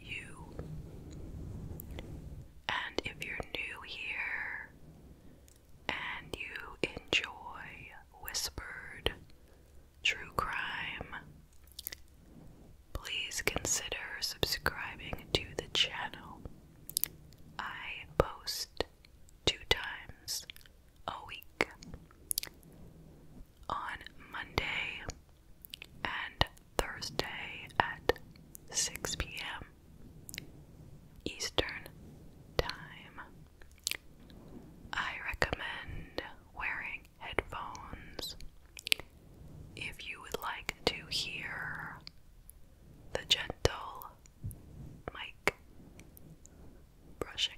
you. And if you're new here and you enjoy whispered true crime, please consider subscribing to the channel. I post two times a week on Monday and Thursday at 6 p.m. Eastern Time. I recommend wearing headphones if you would like to hear the gentle mic brushing.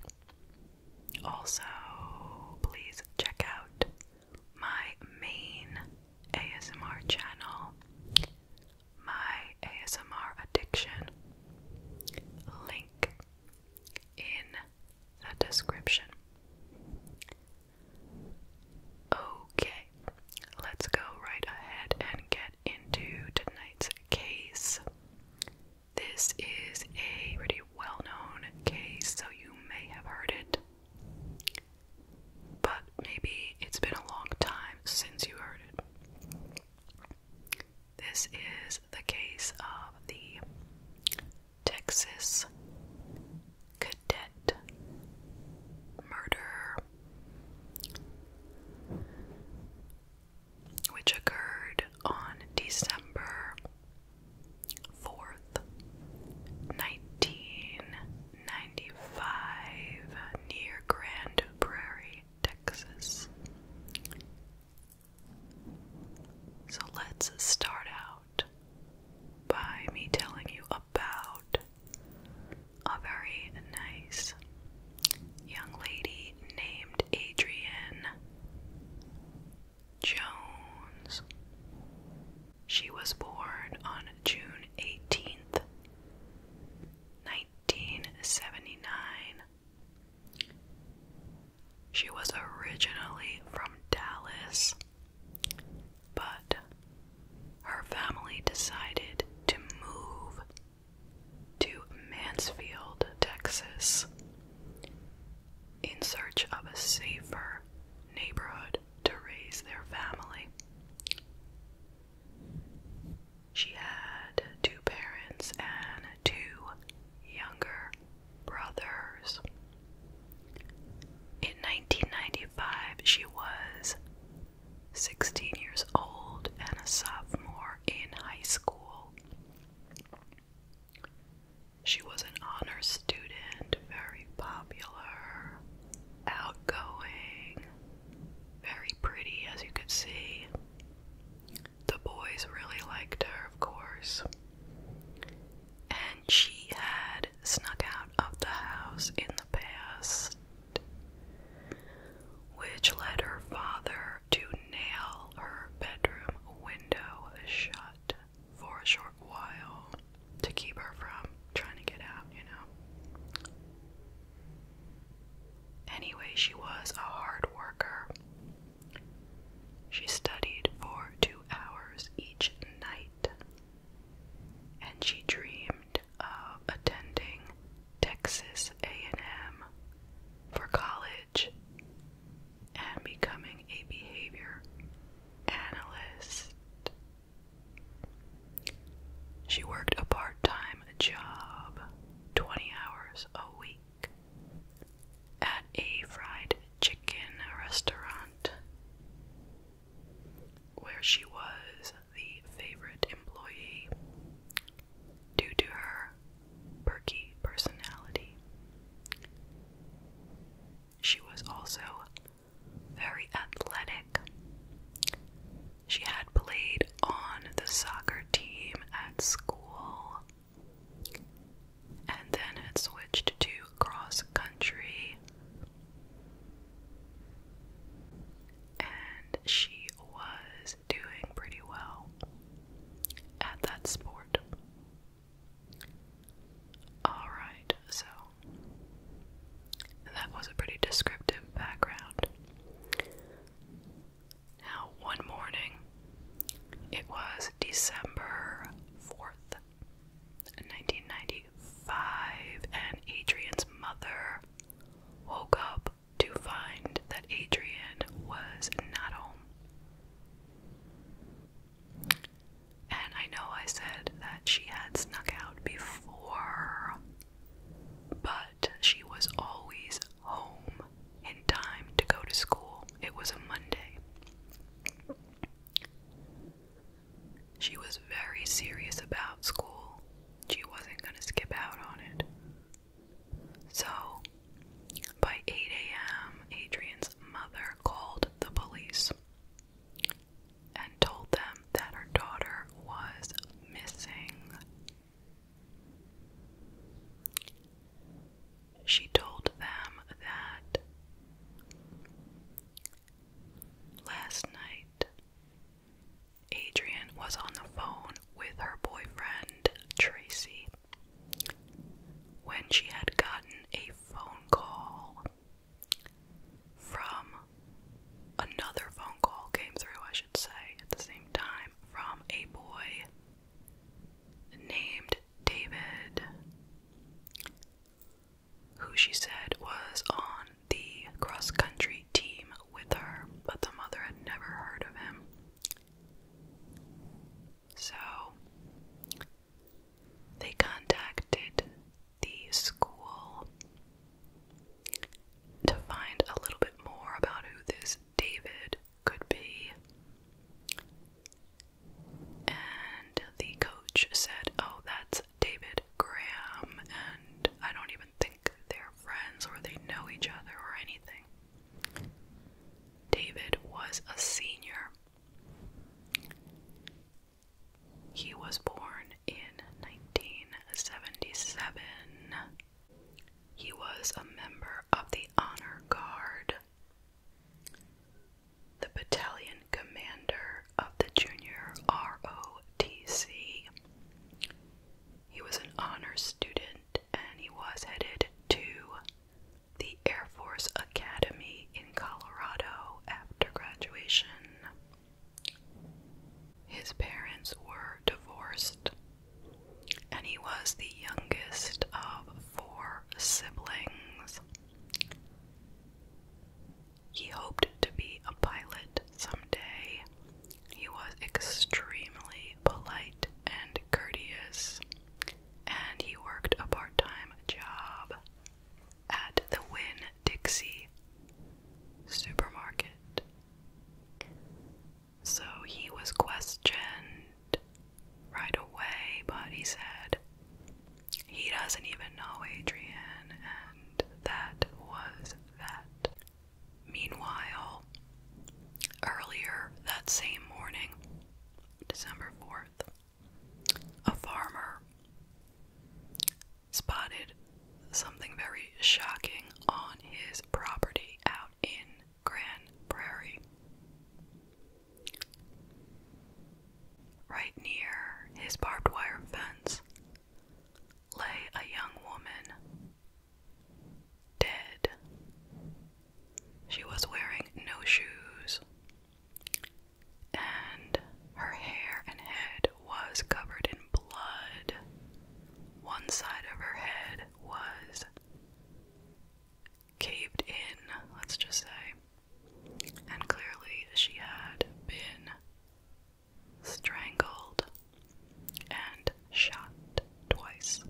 Also, please check out my main ASMR channel, my ASMR addiction. Link in the description. Okay, let's go right ahead and get into tonight's case. This is a pretty well known case, so you may have heard it but maybe it's been a long time since you heard it. This is the case of the Texas cadet murder, which occurred on December 4th, 1995, near Grand Prairie, Texas. So let's start out by me telling you about a very nice young lady named Adrienne Jones. She was born on June 18th, 1979. She was originally from Dallas, but her family decided to move to Mansfield, Texas, in search of a safer neighborhood to raise their family. She had two parents and two younger brothers. In 1995, she was 16 years old and a sophomore in high school. She was an honor student, very popular, outgoing, very pretty, as you could see. The boys really liked her, of course. And she had snuck out of the house in the past, which led her father to nail her bedroom window shut for a short while to keep her from trying to get out, you know. Anyway, she was a hard worker. She studied for two hours each night, and she dreamed of attending Texas A&M for college and becoming a behavior analyst. She worked a part time job, 20 hours a week, at a fried chicken restaurant, where she was the favorite employee due to her perky personality. She was also very athletic. She had played on the soccer team at school and then had switched to cross country. And she was doing pretty well at that sport. Alright, so that was a pretty descriptive background. Now, one morning, it was December 4th, 1995, and Adrian's mother woke up to find that Adrian was not home. And I know I said that she had snuck out before, but she was always home in time to go to school. It was a Monday. She was very serious about school. She wasn't going to skip out on it. So, by 8 a.m., Adrian's mother called the police and told them that her daughter was missing. She told them that last night Adrian was on the phone with her boyfriend Tracy when she had gotten a phone call from another phone call came through, I should say, at the same time, from a boy named David, who she said was on the cross country team with her, but the mother had never heard of him. So they contacted the school to find a little bit more about who this David could be. And the coach said, Oh, that's David Graham, and I don't even think they're friends or they know each other or anything. David was a senior. He was born in 1977. He was a member of the Honor Guard, the battalion commander of the junior ROTC. He was an honor student and he was headed to the Air Force Academy in Colorado after graduation. His parents were divorced, and he was the youngest of four siblings. He hoped to be a pilot someday. He was extremely polite and courteous, and he worked a part time job at the Winn Dixie supermarket. So he was questioned right away, but he said he doesn't even know Adrian, and that was that. Meanwhile, earlier that same morning, December 4th, a farmer spotted something very shocking on his property out in Grand Prairie. Right near his barbed wire fence lay a young woman, dead. She was wearing no shoes and her hair and head was covered in blood. One side of her head was caved in, let's just say, and clearly she had been strangled and shot twice.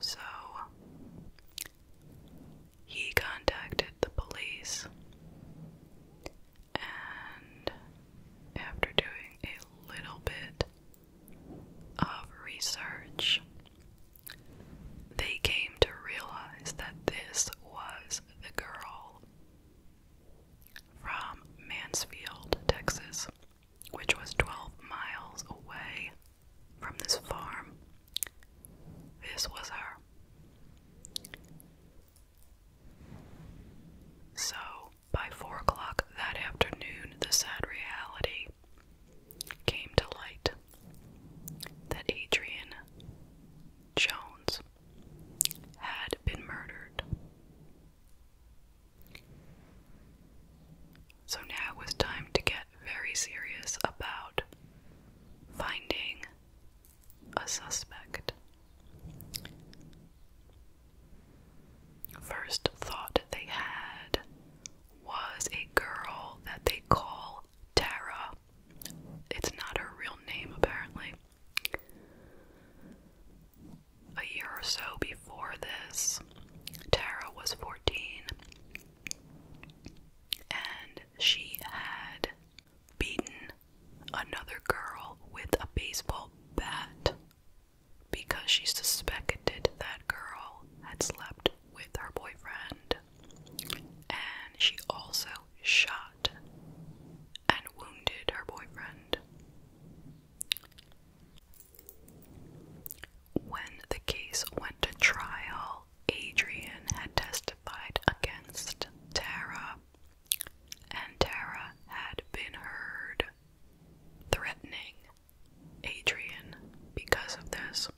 So he contacted the police, and after doing a little bit of research, they came to realize that this was the girl from Mansfield, Texas, which was 12 miles away from this farm. This was her. So, by four o'clock that afternoon, the sad reality came to light that Adrian Jones had been murdered. So now it was time to get very serious about finding a suspect. First thought they had was a girl that they call Tara. It's not her real name, apparently. A year or so before this, Tara was 14, and she had beaten another girl with a baseball bat because she suspected that girl had slept with her boyfriend. And she also shot and wounded her boyfriend. When the case went to trial, Adrian had testified against Tara, and Tara had been heard threatening Adrian because of this.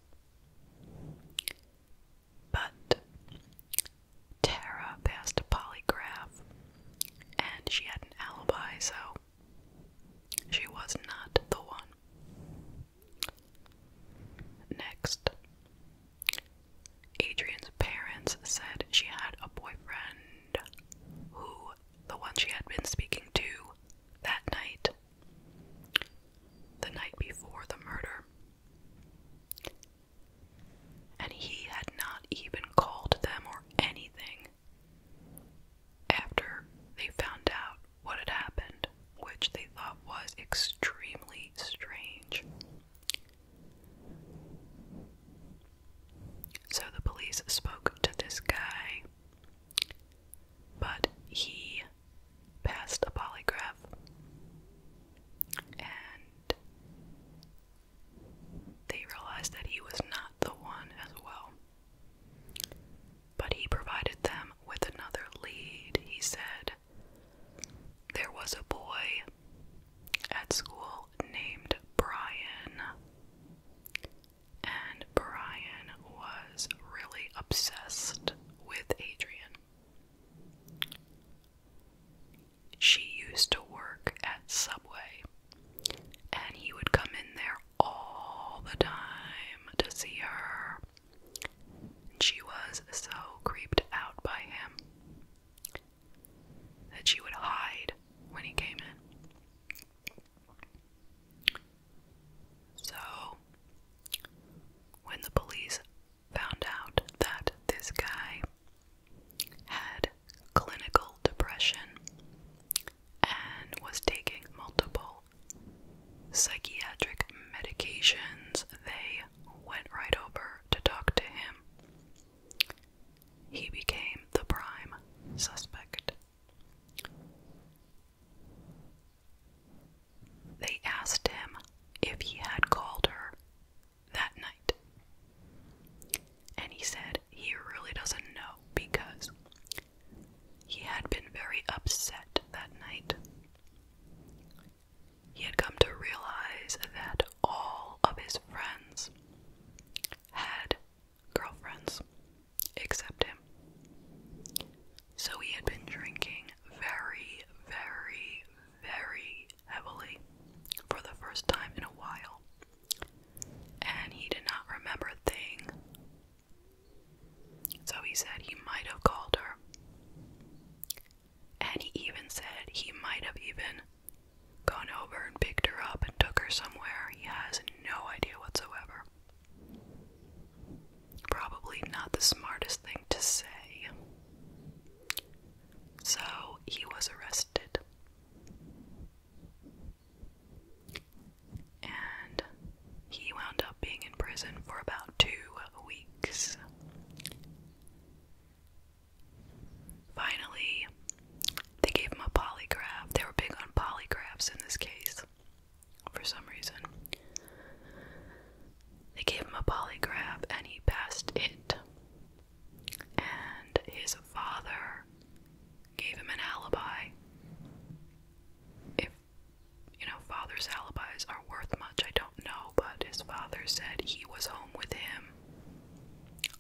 But Tara passed a polygraph and she had an alibi, so she was not the one. Next, Adrian's parents said she had a boyfriend who, the one she had been speaking to that night, the night before the murder, and he had not even called them or anything after they found out what had happened, which they thought was extremely strange. So the police spoke to this guy, but he passed a polygraph and they realized that he was not the one as well. But he provided them with another lead. He said there was a boy at school named Brian, and Brian was really obsessed with Adrian. She used to work at Subway, and he would come in there all the time to see her. She was so creeped out by him that she would hide when he came in. So, when the police found out that this guy had clinical depression and was taking multiple psychiatric medications, they went right over to talk to him. He became the prime suspect. They asked him if he had called her that night. And he said he really doesn't know because he had been very upset that night. He had come to realize that all of his friends had girlfriends except him. So he had been drinking very, very, very heavily for the first time in a while. And he did not remember a thing so he said he might have called her. And he even said he might have even gone over and picked her up and took her somewhere. He has no idea whatsoever. Probably not the smartest thing to say. So he was arrested. And he wound up being in prison for about two weeks. Finally, they gave him a polygraph. They were big on polygraphs in this case for some reason. They gave him a polygraph and he passed it. And his father gave him an alibi you know, father's alibis are worth much. I don't know, but his father said he was home with him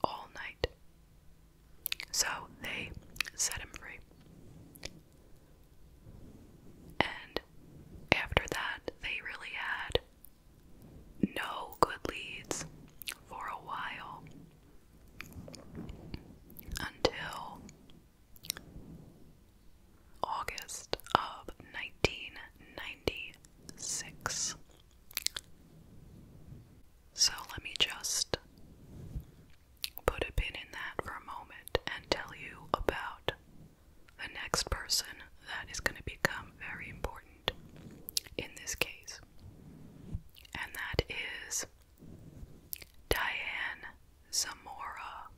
all night. So they set him free. And after that, they really had no good leads for a while until August of 1996. So let me just put a pin in that for a moment and tell you about the next person that is going to become very important in this case. And that is Diane Zamora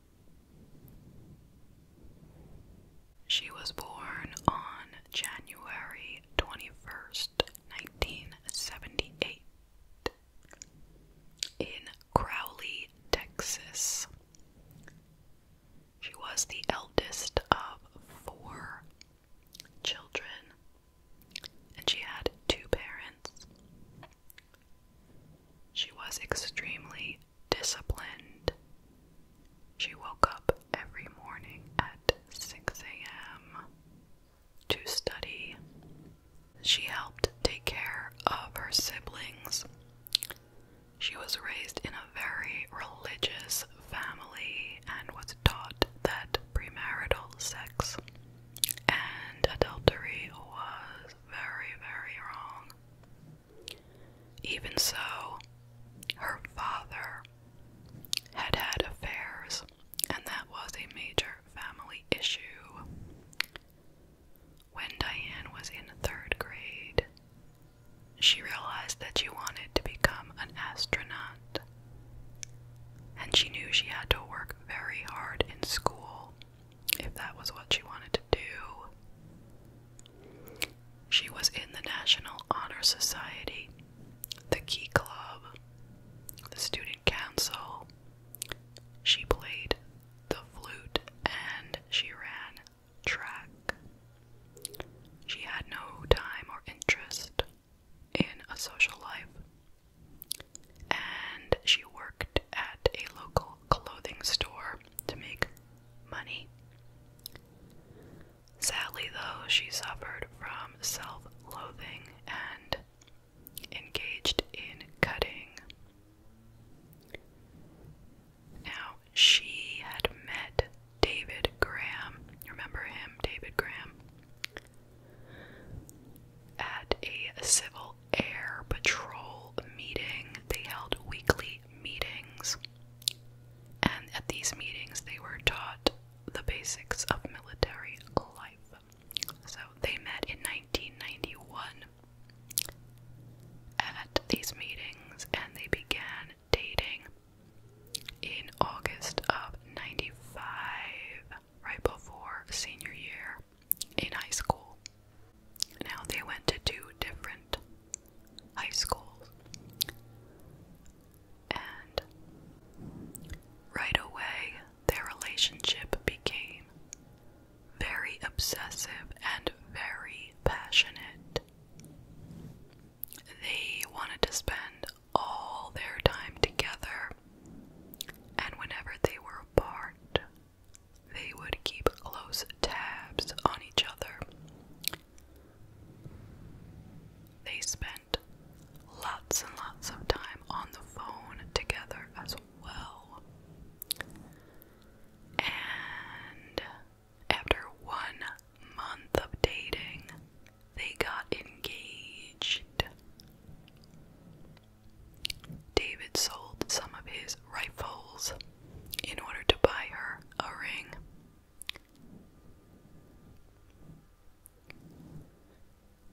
she was born on January 21st, 1978, in Crowley, Texas. She was the eldest of four children, and she had two parents. She was extremely disciplined. She woke up every morning at 6 a.m. to study. She helped take care of her siblings. She was raised in a very religious family and was taught that premarital sex and adultery was very, very wrong. Even so, her father had had affairs, and that was a major family issue. When Diane was in third grade, she realized that she wanted to become an astronaut, and she knew she had to work very hard in school if that was what she wanted to do. She was in the National Honor Society, the Key Club, the Student Council. She played the flute and she ran track. She had no time or interest in a social life. And she worked at a local clothing store to make money. Sadly, though, she suffered from self loathing and engaged in cutting. Now, she had met David Graham, remember him, David Graham, at a civil air patrol meeting they held weekly meetings. And at these meetings, they were taught the basics of military life. So they met in 1991 at these meetings and they began dating in August of 95, right before senior year in high school. Now they went to two different high schools. And right away, their relationship became very obsessive and very passionate. They wanted to spend all their time together, and whenever they were apart, they would keep close tabs on each other. They spent lots and lots of time on the phone together as well. And after one month of dating, they got engaged. David sold some of his rifles in order to buy her a ring.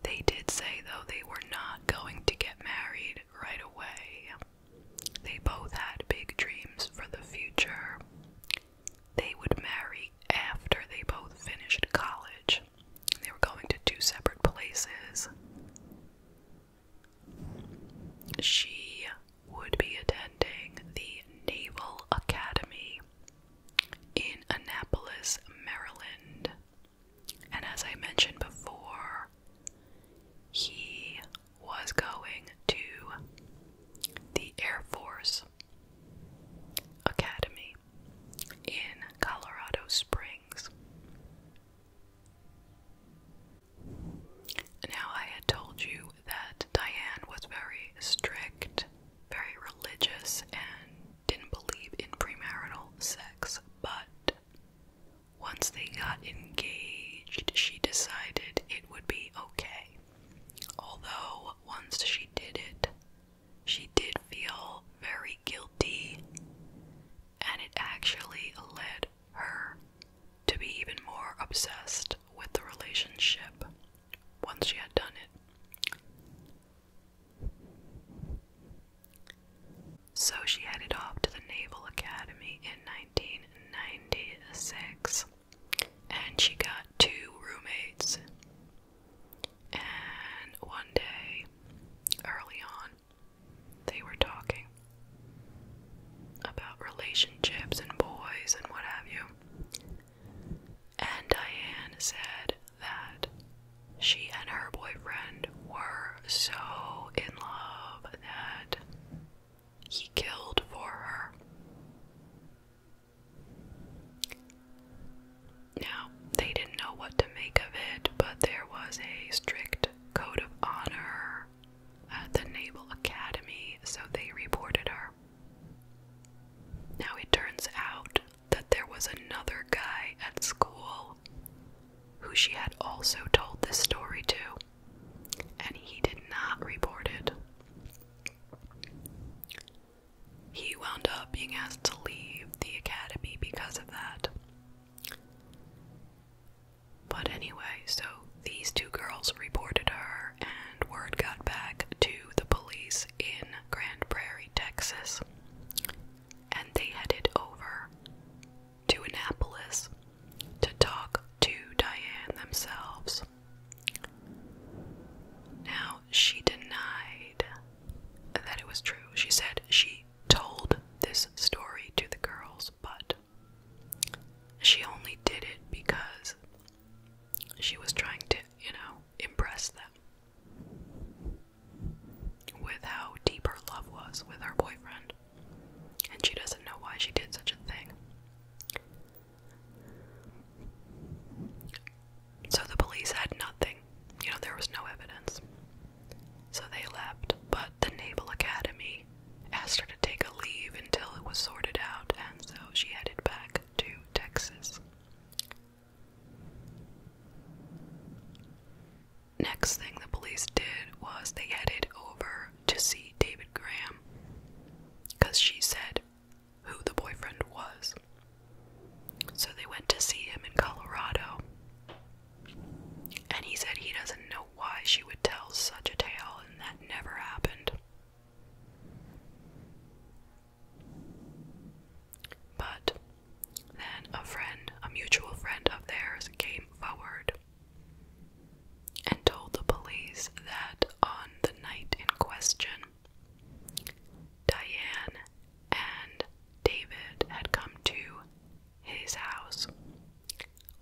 They did say, though, they were not going to get married right away. They both had big dreams for the future. They would marry after they both finished college. They were going to two separate places. She would be attending the Naval Academy in Annapolis, Maryland. And as I mentioned before, he was going to the Air Force Academy in Colorado Springs. Now, I had told you that Diane was very strict, very religious, and didn't believe in premarital sex, but once they got engaged, she decided it would be okay. Although, once she did it, she did feel very guilty, and it actually led her to be even more obsessed with the relationship once she had done it. So she headed off to the Naval Academy in 1996 and she got two roommates. And one day, early on, they were talking about relationships and boys and what have you. And Diane said that she and her boyfriend were so in love that he killed for her. Now, they didn't know what to make of it, but there was a strict code of honor at uh, the Naval Academy, so they reported her. Now it turns out that there was another guy at school who she had also told this story to, and he did not report it. He wound up being asked to leave the academy because of that. But anyway, so these two girls reported her, and word got back to the police in Grand Prairie, Texas. And they headed over to Annapolis to talk to Diane themselves. Now, she denied that it was true. She said she told this story to the girls, but she only did it because she was trying to, you know, impress them with how deep her love was with her boyfriend. And she doesn't know why she did such a thing. So the police had nothing. You know, there was no evidence. So they left. But the Naval Academy asked her to take a leave until it was sorted out, and so she headed back to Texas. Next thing the police did was they headed over to see David Graham because she said who the boyfriend was. So they went to see him in Colorado, and he said he doesn't know why she would tell such a tale and that never happened. But then a friend, a mutual friend of theirs, came forward and told the police that on the night in question, Diane and David had come to his house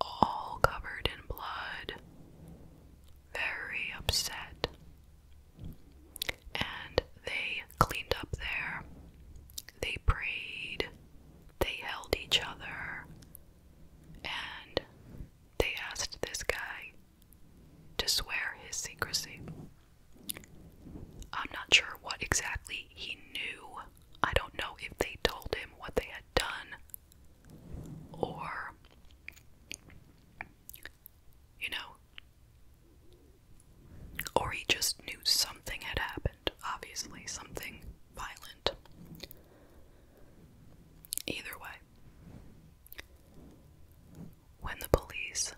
all covered in blood, very upset. And they cleaned up there, they prayed, they held each other, and they asked this guy to swear his secrecy. I'm not sure what exactly he knew. I don't know if they told him what they had done or you know, or he just knew something had happened, obviously, something violent. Either way, when the police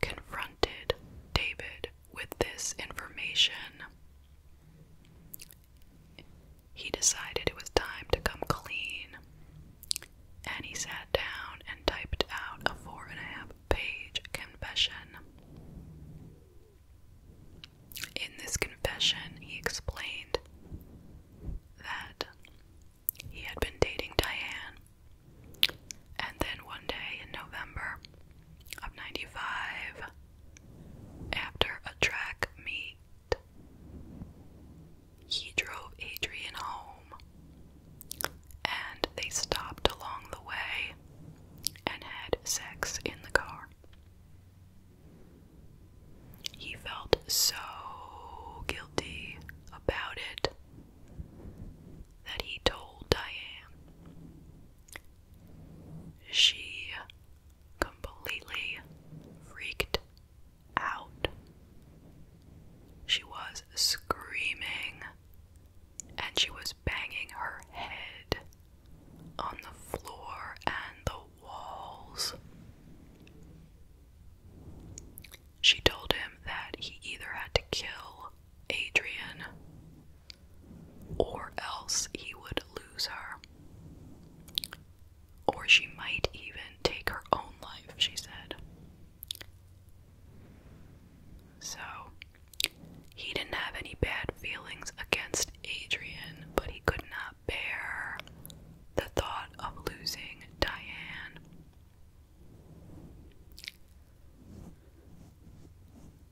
confronted David with this information, he decided it was time to come clean, and he sat down and typed out a four and a half page confession. In this confession, he explained that he had been dating Diane, and then one day in November of 95, after a track meet he drove Adrian home, and they stopped along the way and had sex in the car. He felt so guilty about it that he told Diane. She completely freaked out. She was screaming and she was banging her head on the floor and the walls. She told him that he either had to kill Adrian or else he would lose her. Or she might even take her own life, she said. So, he didn't have any bad feelings against Adrian, but he could not bear the thought of losing Diane.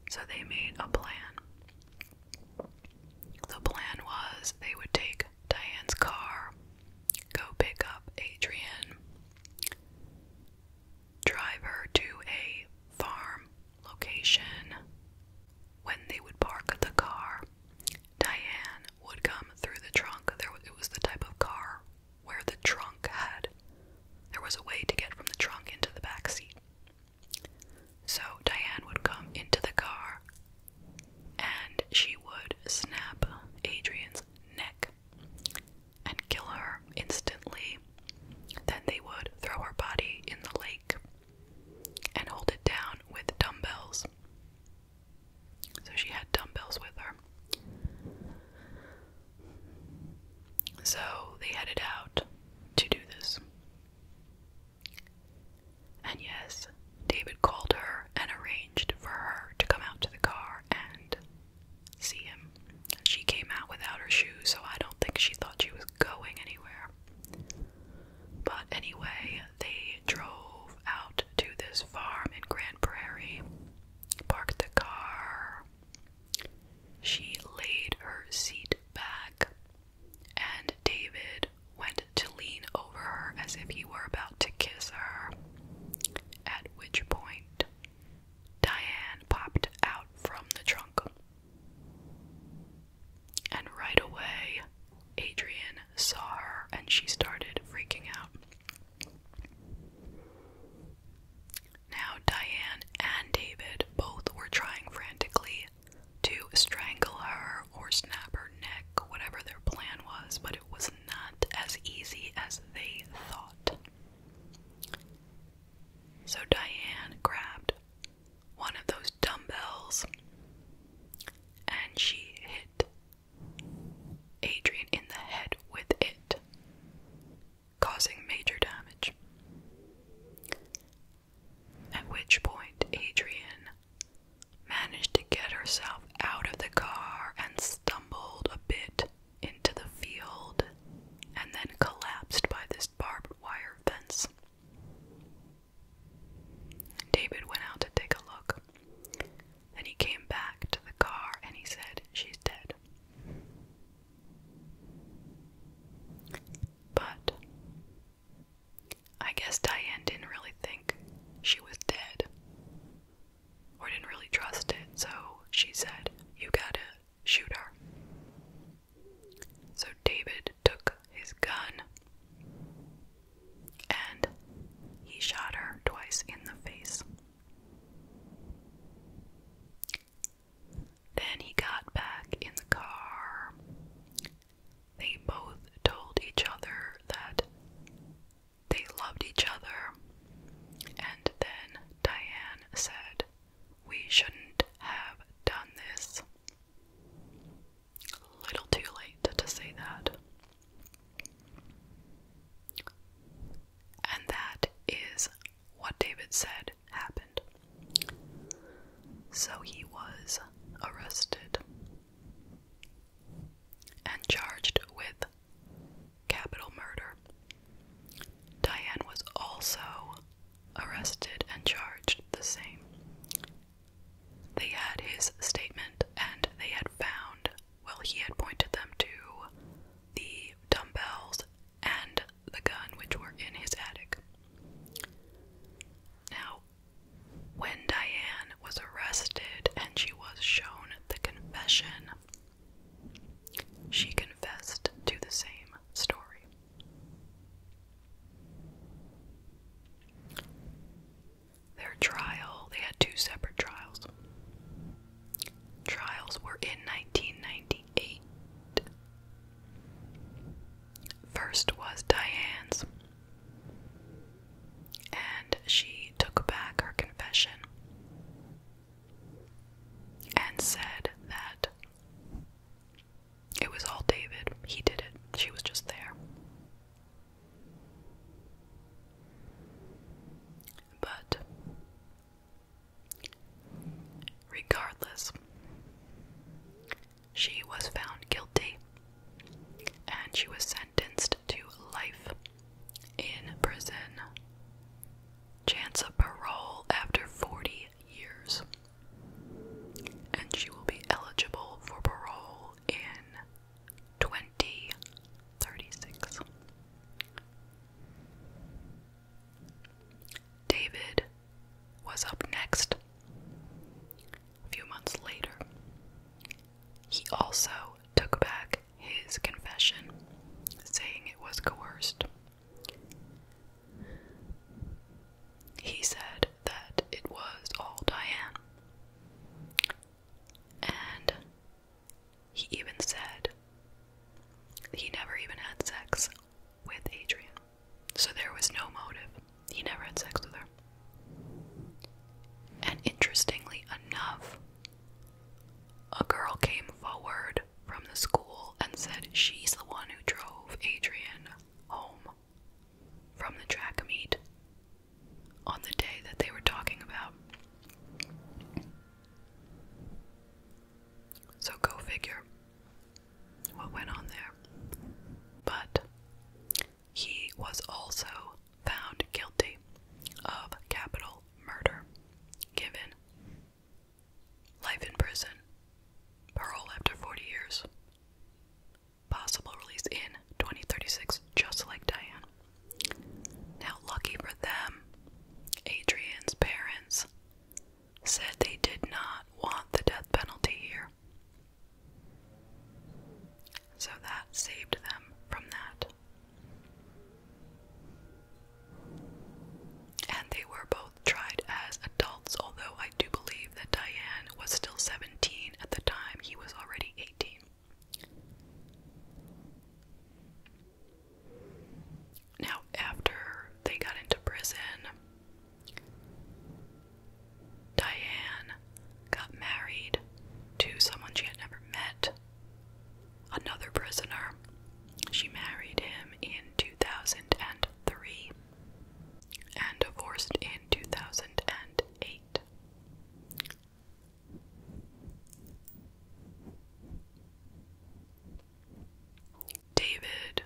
So they made a plan. The plan was they would take Diane's car, go pick up Adrian, drive her to a farm location. When they would park the car, Diane would come through the trunk. There it was the type of car where the trunk had there was a way to get from the trunk into the back seat. So Diane would come into the car, and she would snap Adrian's neck and kill her instantly. Then they would throw her body in the lake and hold it down with dumbbells. So she had dumbbells with her. So they headed out to do this. And yes, David called her and arranged for her to come out to the car and see him. She came out without her shoes, so I don't think she thought she was going anywhere. But anyway, they drove out to this farm in Grand Prairie, parked the car. She laid her seat back, and David went to lean over her as if he were about to kiss her, at which point Diane popped out from the trunk. And right away, Adrian saw her and she started freaking out. Now, Diane and David both were trying frantically to strangle her or snap her neck, whatever their plan was, but it was not as easy as they thought. So Diane grabbed one of those dumbbells and she hit Adrian in the head with it, causing major damage. At which point, Adrian managed to get herself out of the car and stumbled a bit into the field and then collapsed by this barbed wire fence. David went out to take a look. and he came back to the car and he said, She's dead. But I guess Diane didn't really think she was dead or didn't really trust it, so she said, You gotta shoot her. So David took his gun and he shot her twice in the face. Then he got back in the car they both told each other that they loved each other. And then Diane said, We shouldn't have done this. little too late to say that. And that is what David said happened. So he was arrested and charged with capital murder. Diane was also arrested and charged the same. They had his statement and they had found, well, he had pointed them to the dumbbells and the gun which were in his attic. Now, when Diane was arrested and she was shown the confession, she confessed to the same story. Their trial, they had two separate trials. Trials were in 1998. First was Diane's, and she took back her confession and said that it was all David. He did it. She was just there. But regardless, she was found guilty and she was sentenced to life in prison. Chance of parole after 40 years. And she will be eligible for parole in 2036. David was up next a few months later. He also took back his confession, saying it was coerced. He said that it was all Diane. And he even said he never even had sex with Adrian. So there was no motive. He never had sex with her. And interestingly enough, a girl came forward from the school and said she's the one who drove Adrian home from the track meet on the day that they were talking about. So go figure what went on there. But he was also found guilty of capital murder, given life in prison, parole after 40 years, possible release in 2036, just like Diane. Now, lucky for them, Adrian's parents said they did not want the death penalty here. So that saved them from that. And they were both tried as adults, although I do believe that Diane was still 17 at the time, he was already 18. Now, after they got into prison, Diane got married to someone she had never met, another prisoner. She married him in 2003 and divorced in 2008. David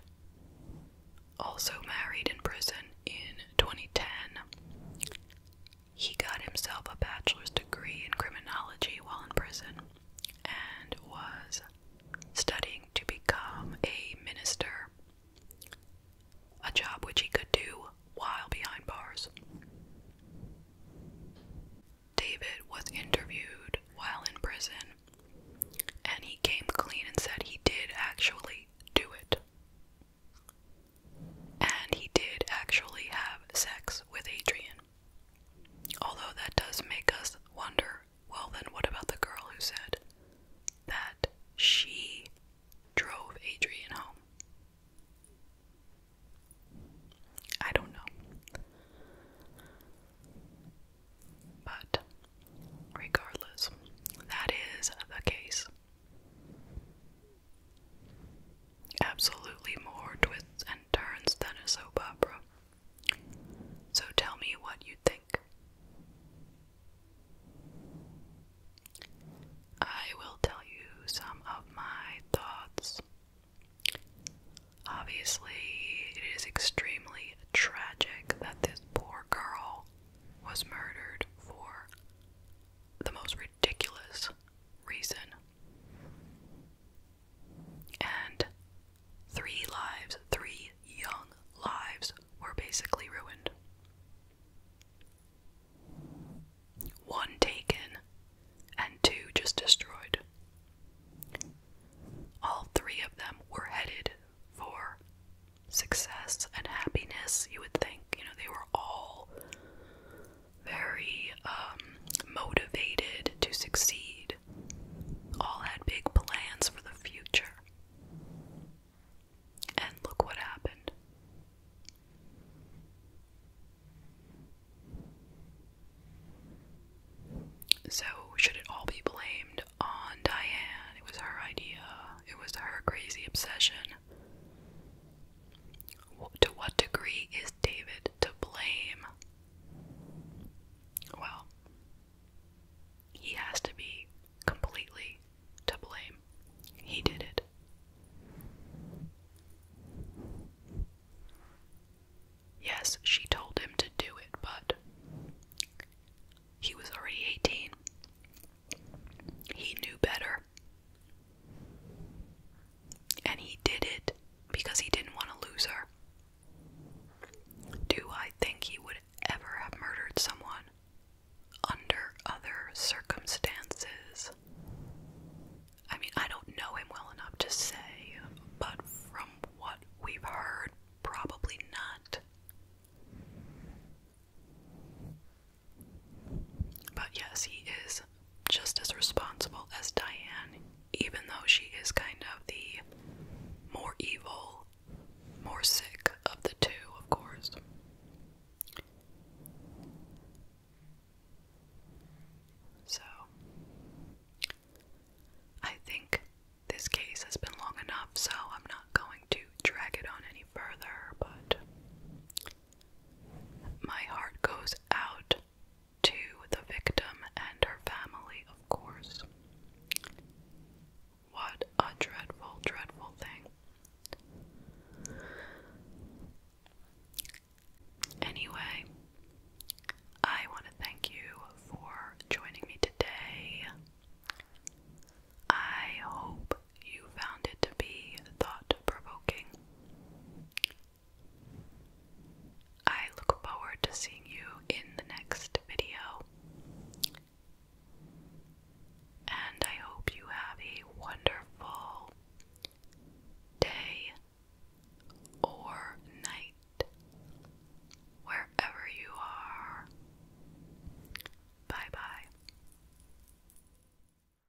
also married in prison in 2010 he got himself a bachelor's degree in criminology while in prison and was studying to become a minister, a job which he could do while behind bars. David was interviewed while in prison and he came clean and said he did actually do it. And he did actually have sex with Adrian. Although that does make us wonder well, then, what about the girl who said that she drove Adrian home? I don't know. But regardless, that is the case. Absolutely more twists and turns than a soap opera. So tell me what you think. I will tell you some of my thoughts. Obviously, it is extremely tragic that this poor girl was murdered for the most ridiculous reason. And three lives, three young lives, were basically ruined. One taken, and two just destroyed. All three of them were headed for success and happiness, you would think. You know, they were all very um, motivated to succeed, all had big plans for the future. And look what happened. So, should it all be blamed on Diane? It was her idea, it was her crazy obsession. To what degree is David to blame? Well, he has to be completely to blame. He did it. Yes, she told him to do it, but he was already 18. He knew better. And he did it because he didn't want to lose her. Do I think he would ever have murdered someone under other circumstances? I mean, I don't know him well enough to say, but from what we've heard, probably not. But yes, he is just as responsible as Diane, even though she is kind of the more evil, more sick of the two, of course. So, I think this case has been long enough, so I'm not going to drag it on any further, but my heart goes out to the victim and her family, of course. What a dreadful, dreadful thing. Anyway, I want to thank you for joining me today. I hope you found it to be thought provoking. I look forward to seeing you in the next video. And I hope you have a wonderful day or night wherever you are. Bye bye.